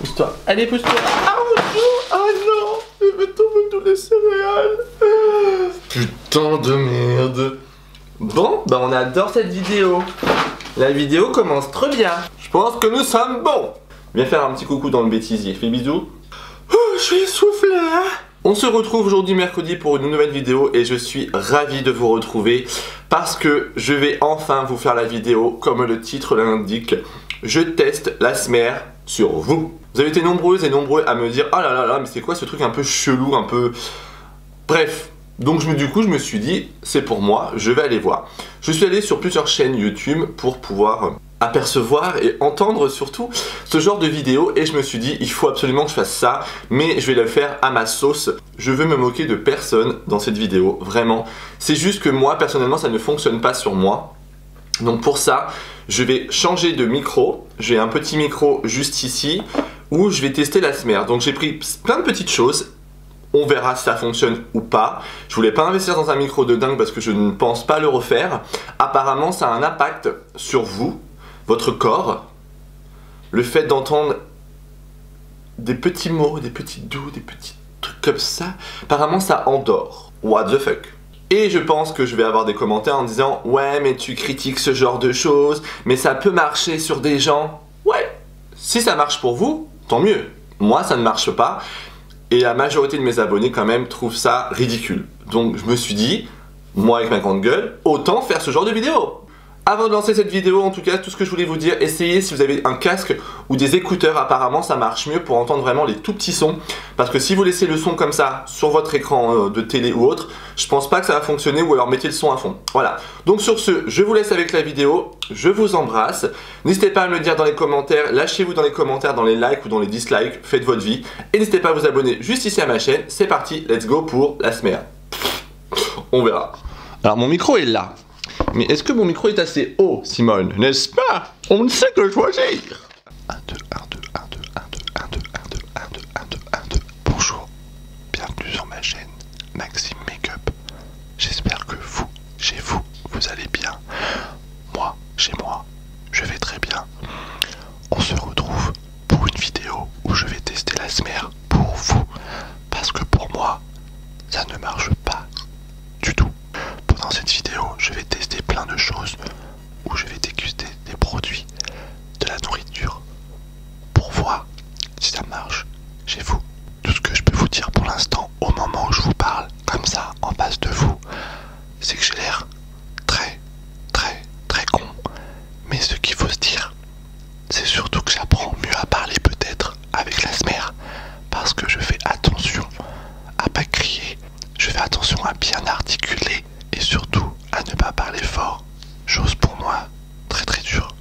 Pousse-toi. Allez, pousse-toi. Ah non, ah non, je vais tomber tous les céréales. Putain de merde. Bon, bah on adore cette vidéo. La vidéo commence très bien. Je pense que nous sommes bons. Viens faire un petit coucou dans le bêtisier. Fais bisous. Oh, je suis essoufflé, hein on se retrouve aujourd'hui mercredi pour une nouvelle vidéo et je suis ravi de vous retrouver parce que je vais enfin vous faire la vidéo comme le titre l'indique. Je teste la SMER sur vous. Vous avez été nombreuses et nombreux à me dire « Ah oh là là là, mais c'est quoi ce truc un peu chelou, un peu... » Bref, donc du coup je me suis dit « C'est pour moi, je vais aller voir. » Je suis allé sur plusieurs chaînes YouTube pour pouvoir apercevoir et entendre surtout ce genre de vidéo et je me suis dit il faut absolument que je fasse ça mais je vais le faire à ma sauce. Je veux me moquer de personne dans cette vidéo, vraiment. C'est juste que moi personnellement ça ne fonctionne pas sur moi. Donc pour ça, je vais changer de micro. J'ai un petit micro juste ici où je vais tester la smer Donc j'ai pris plein de petites choses on verra si ça fonctionne ou pas. Je voulais pas investir dans un micro de dingue parce que je ne pense pas le refaire. Apparemment, ça a un impact sur vous, votre corps, le fait d'entendre des petits mots, des petits doux, des petits trucs comme ça, apparemment ça endort. What the fuck et je pense que je vais avoir des commentaires en disant Ouais, mais tu critiques ce genre de choses, mais ça peut marcher sur des gens. Ouais, si ça marche pour vous, tant mieux. Moi, ça ne marche pas. Et la majorité de mes abonnés, quand même, trouvent ça ridicule. Donc, je me suis dit moi avec ma grande gueule, autant faire ce genre de vidéo. Avant de lancer cette vidéo, en tout cas, tout ce que je voulais vous dire, essayez si vous avez un casque ou des écouteurs, apparemment ça marche mieux pour entendre vraiment les tout petits sons. Parce que si vous laissez le son comme ça sur votre écran euh, de télé ou autre, je pense pas que ça va fonctionner ou alors mettez le son à fond. Voilà. Donc sur ce, je vous laisse avec la vidéo, je vous embrasse. N'hésitez pas à me le dire dans les commentaires, lâchez-vous dans les commentaires, dans les likes ou dans les dislikes, faites votre vie. Et n'hésitez pas à vous abonner juste ici à ma chaîne. C'est parti, let's go pour la semaine. On verra. Alors mon micro est là. Mais est-ce que mon micro est assez haut, Simone N'est-ce pas On ne sait que choisir 1, 2, 1, 2, 1, 2, 1, 2, 1, 2, 1, 2, 1, 2, 1, 2, Bonjour, bienvenue sur ma chaîne Maxime Makeup. J'espère que vous, chez vous, vous allez bien. Moi, chez moi, je vais très bien. On se retrouve pour une vidéo où je vais tester la smère pour vous. Parce que pour moi, ça ne marche pas du tout. Pendant cette vidéo, je vais tester plein de choses où je vais déguster des produits, de la nourriture, pour voir si ça marche chez vous. Tout ce que je peux vous dire pour l'instant, au moment où je vous parle, comme ça, en face de vous, c'est que j'ai l'air très, très, très con. Mais ce qu'il faut se dire, c'est surtout que j'apprends mieux à parler peut-être avec la smer parce que je fais attention à pas crier, je fais attention à bien articuler et surtout à ne pas parler fort. Chose pour moi très très dure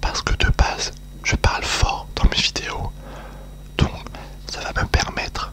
parce que de base je parle fort dans mes vidéos donc ça va me permettre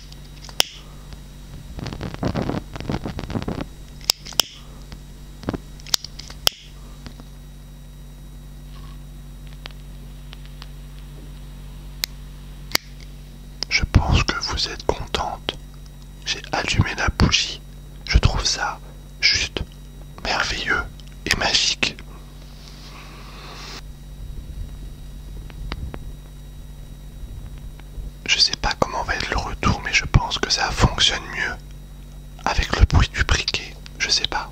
Je pense que vous êtes contente. J'ai allumé la bougie. Je trouve ça juste merveilleux et magique. Je sais pas comment va être le retour, mais je pense que ça fonctionne mieux avec le bruit du briquet. Je sais pas.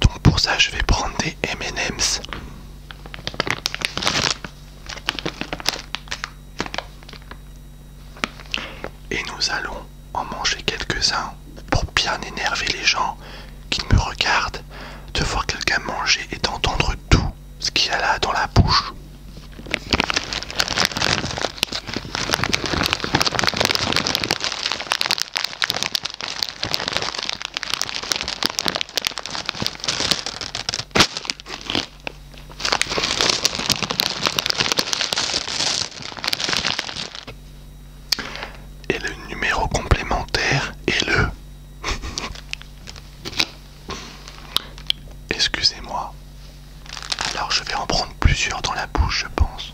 Donc pour ça, je vais prendre des MM's. Et nous allons en manger quelques-uns pour bien énerver les gens qui me regardent, de voir quelqu'un manger et d'entendre tout ce qu'il y a là dans la bouche. Et le numéro complémentaire est le... Excusez-moi. Alors je vais en prendre plusieurs dans la bouche, je pense.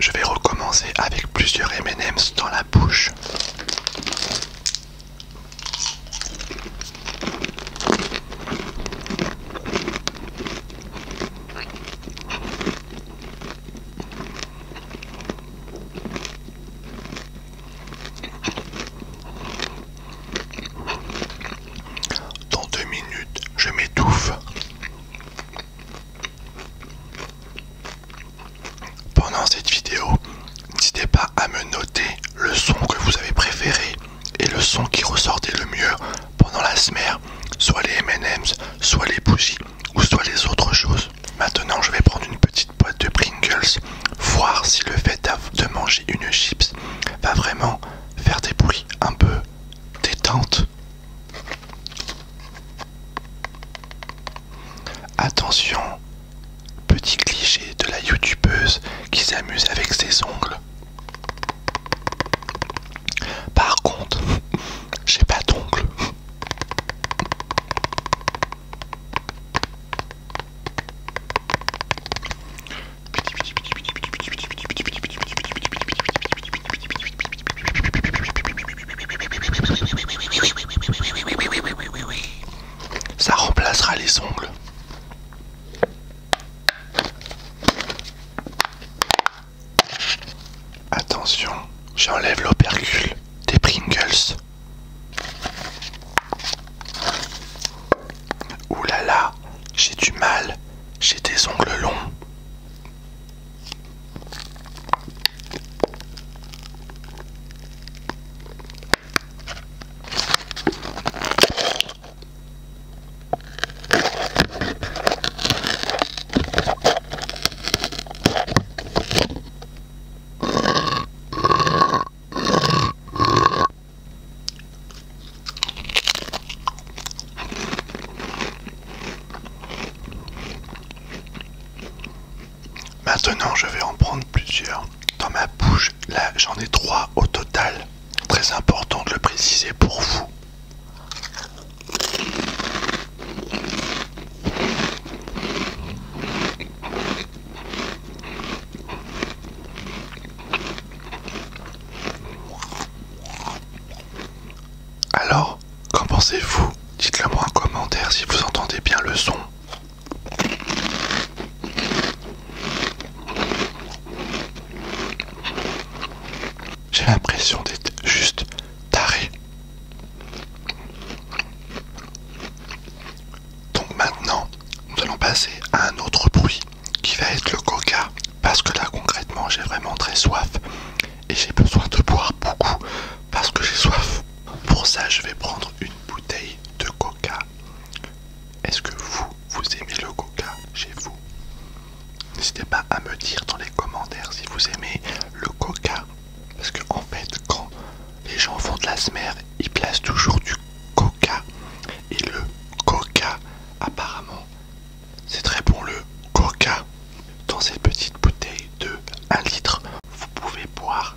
Je vais recommencer avec plusieurs MM's dans la bouche. Dans deux minutes, je m'étouffe. Pendant cette vidéo, n'hésitez pas à me noter le son que vous avez préféré et le son qui ressortait le mieux pendant la smère soit les MM's, soit les bougies ou soit les autres choses. Maintenant, je vais prendre une petite boîte de Pringles, voir si le fait de manger une chips va vraiment faire des bruits un peu détente. Attention, Petit cliché de la youtubeuse qui s'amuse avec ses ongles. Par contre, j'ai pas d'ongles. Ça remplacera les ongles. Attention, j'enlève l'opercule des Pringles. Ouh là là, j'ai du mal, j'ai des ongles longs. Maintenant, je vais en prendre plusieurs dans ma bouche. Là, j'en ai trois au total. Très important de le préciser pour vous. Alors, qu'en pensez-vous Dites-le moi en commentaire si vous entendez bien le son. J'ai l'impression d'être juste taré. Donc maintenant, nous allons passer à un autre bruit qui va être le coca. Parce que là concrètement, j'ai vraiment très soif. Et j'ai besoin de boire beaucoup parce que j'ai soif. Pour ça, je vais prendre une bouteille de coca. Est-ce que vous, vous aimez le coca chez vous N'hésitez pas à me dire dans les commentaires si vous aimez le coca. Parce que en fait, quand les gens font de la smer ils placent toujours du coca. Et le coca, apparemment, c'est très bon le coca. Dans cette petite bouteille de 1 litre, vous pouvez boire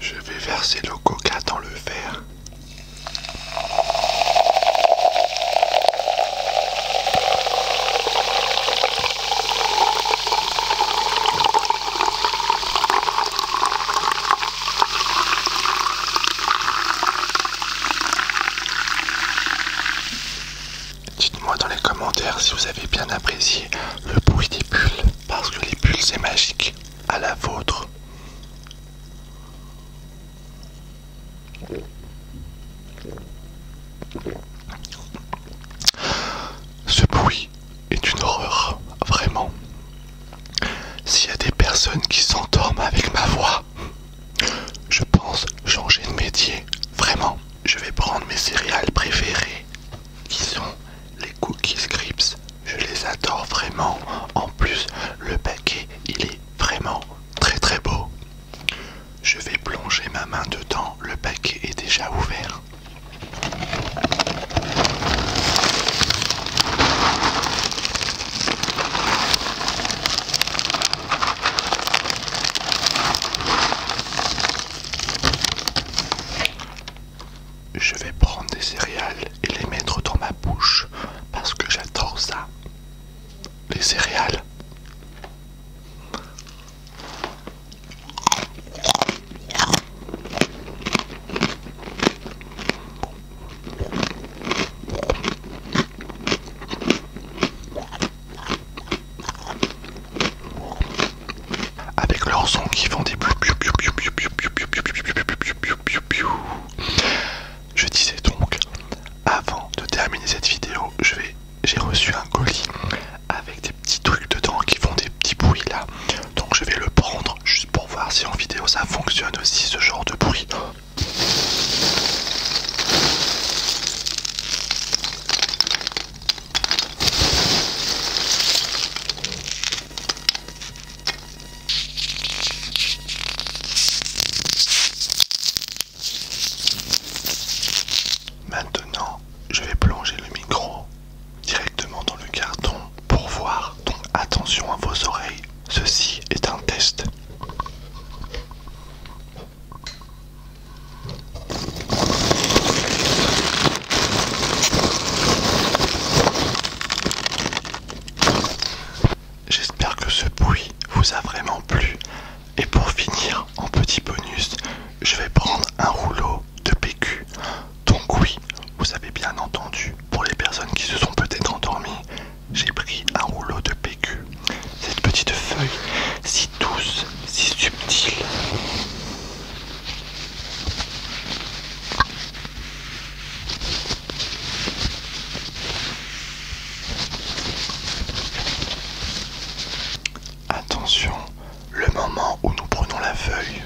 Je vais verser le coca dans le verre. Dites-moi dans les commentaires si vous avez bien apprécié le bruit des bulles, parce que les bulles c'est magique à la vôtre. Ce bruit est une horreur, vraiment. S'il y a des personnes qui s'endorment avec ma voix, je pense changer de métier, vraiment. Je vais prendre mes céréales préférées, qui sont les cookies scripts. Je les adore vraiment. En plus, le paquet, il est vraiment très très beau. Je vais plonger ma main dedans, le paquet est déjà ouvert. Je vais prendre des céréales et les mettre dans ma bouche parce que j'adore ça les céréales. Avec leurs sons qui font des piou piou piou piou piou piou piou piou piou piou piou piou piou piou piou. Je disais donc avant de terminer cette vidéo, je vais j'ai reçu un colis avec des petits trucs dedans qui font des petits bruits là. Donc je vais le prendre juste pour voir si en vidéo ça fonctionne aussi ce genre de bruit. Maintenant, je vais plonger le micro directement dans le carton pour voir, donc attention à vos oreilles, ceci est un test. J'espère que ce bruit vous a vraiment plu. Et pour finir, en petit bonus, je vais prendre un rouleau de PQ. Donc oui, vous avez bien entendu, pour les personnes qui se sont peut-être endormies, j'ai pris un rouleau de PQ. Cette petite feuille, si douce, si subtile. Attention, le moment où nous prenons la feuille.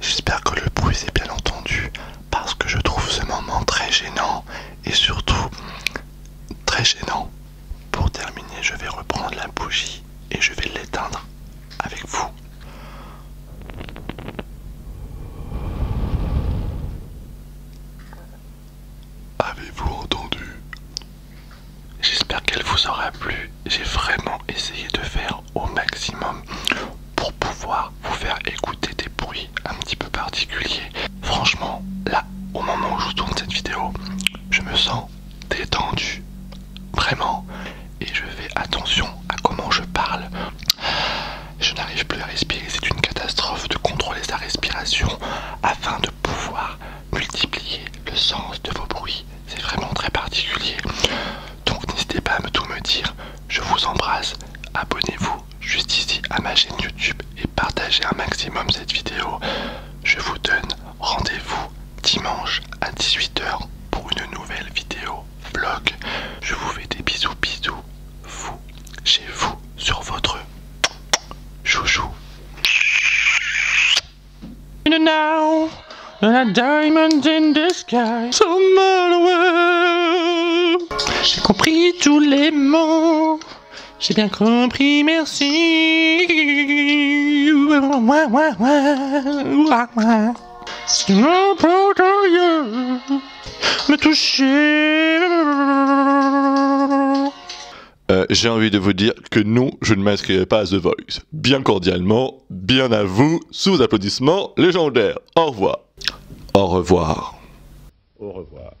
J'espère que le bruit s'est bien entendu parce que je trouve ce moment très gênant et surtout très gênant. Pour terminer, je vais reprendre la bougie et je vais l'éteindre avec vous. Avez-vous entendu J'espère qu'elle vous aura plu. J'ai vraiment essayé de faire au maximum pour pouvoir vous faire écouter des bruits un petit peu particuliers. Franchement, là, au moment où je tourne cette vidéo, je me sens détendu. Vraiment. Et je fais attention à comment je parle. Je n'arrive plus à respirer. C'est une catastrophe de contrôler sa respiration afin de pouvoir multiplier le sens de vos bruits. C'est vraiment très particulier. Donc n'hésitez pas à me tout me dire. Je vous embrasse. Abonnez-vous juste ici à ma chaîne YouTube et partagez un maximum cette vidéo. Je vous donne Rendez-vous dimanche à 18h pour une nouvelle vidéo vlog. Je vous fais des bisous bisous. Vous, chez vous, sur votre chouchou. J'ai compris tous les mots. J'ai bien compris mes merci. C'est me toucher. Euh, j'ai envie de vous dire que non, je ne m'inscrirai pas à The Voice. Bien cordialement, bien à vous, sous applaudissements légendaires. Au revoir. Au revoir. Au revoir.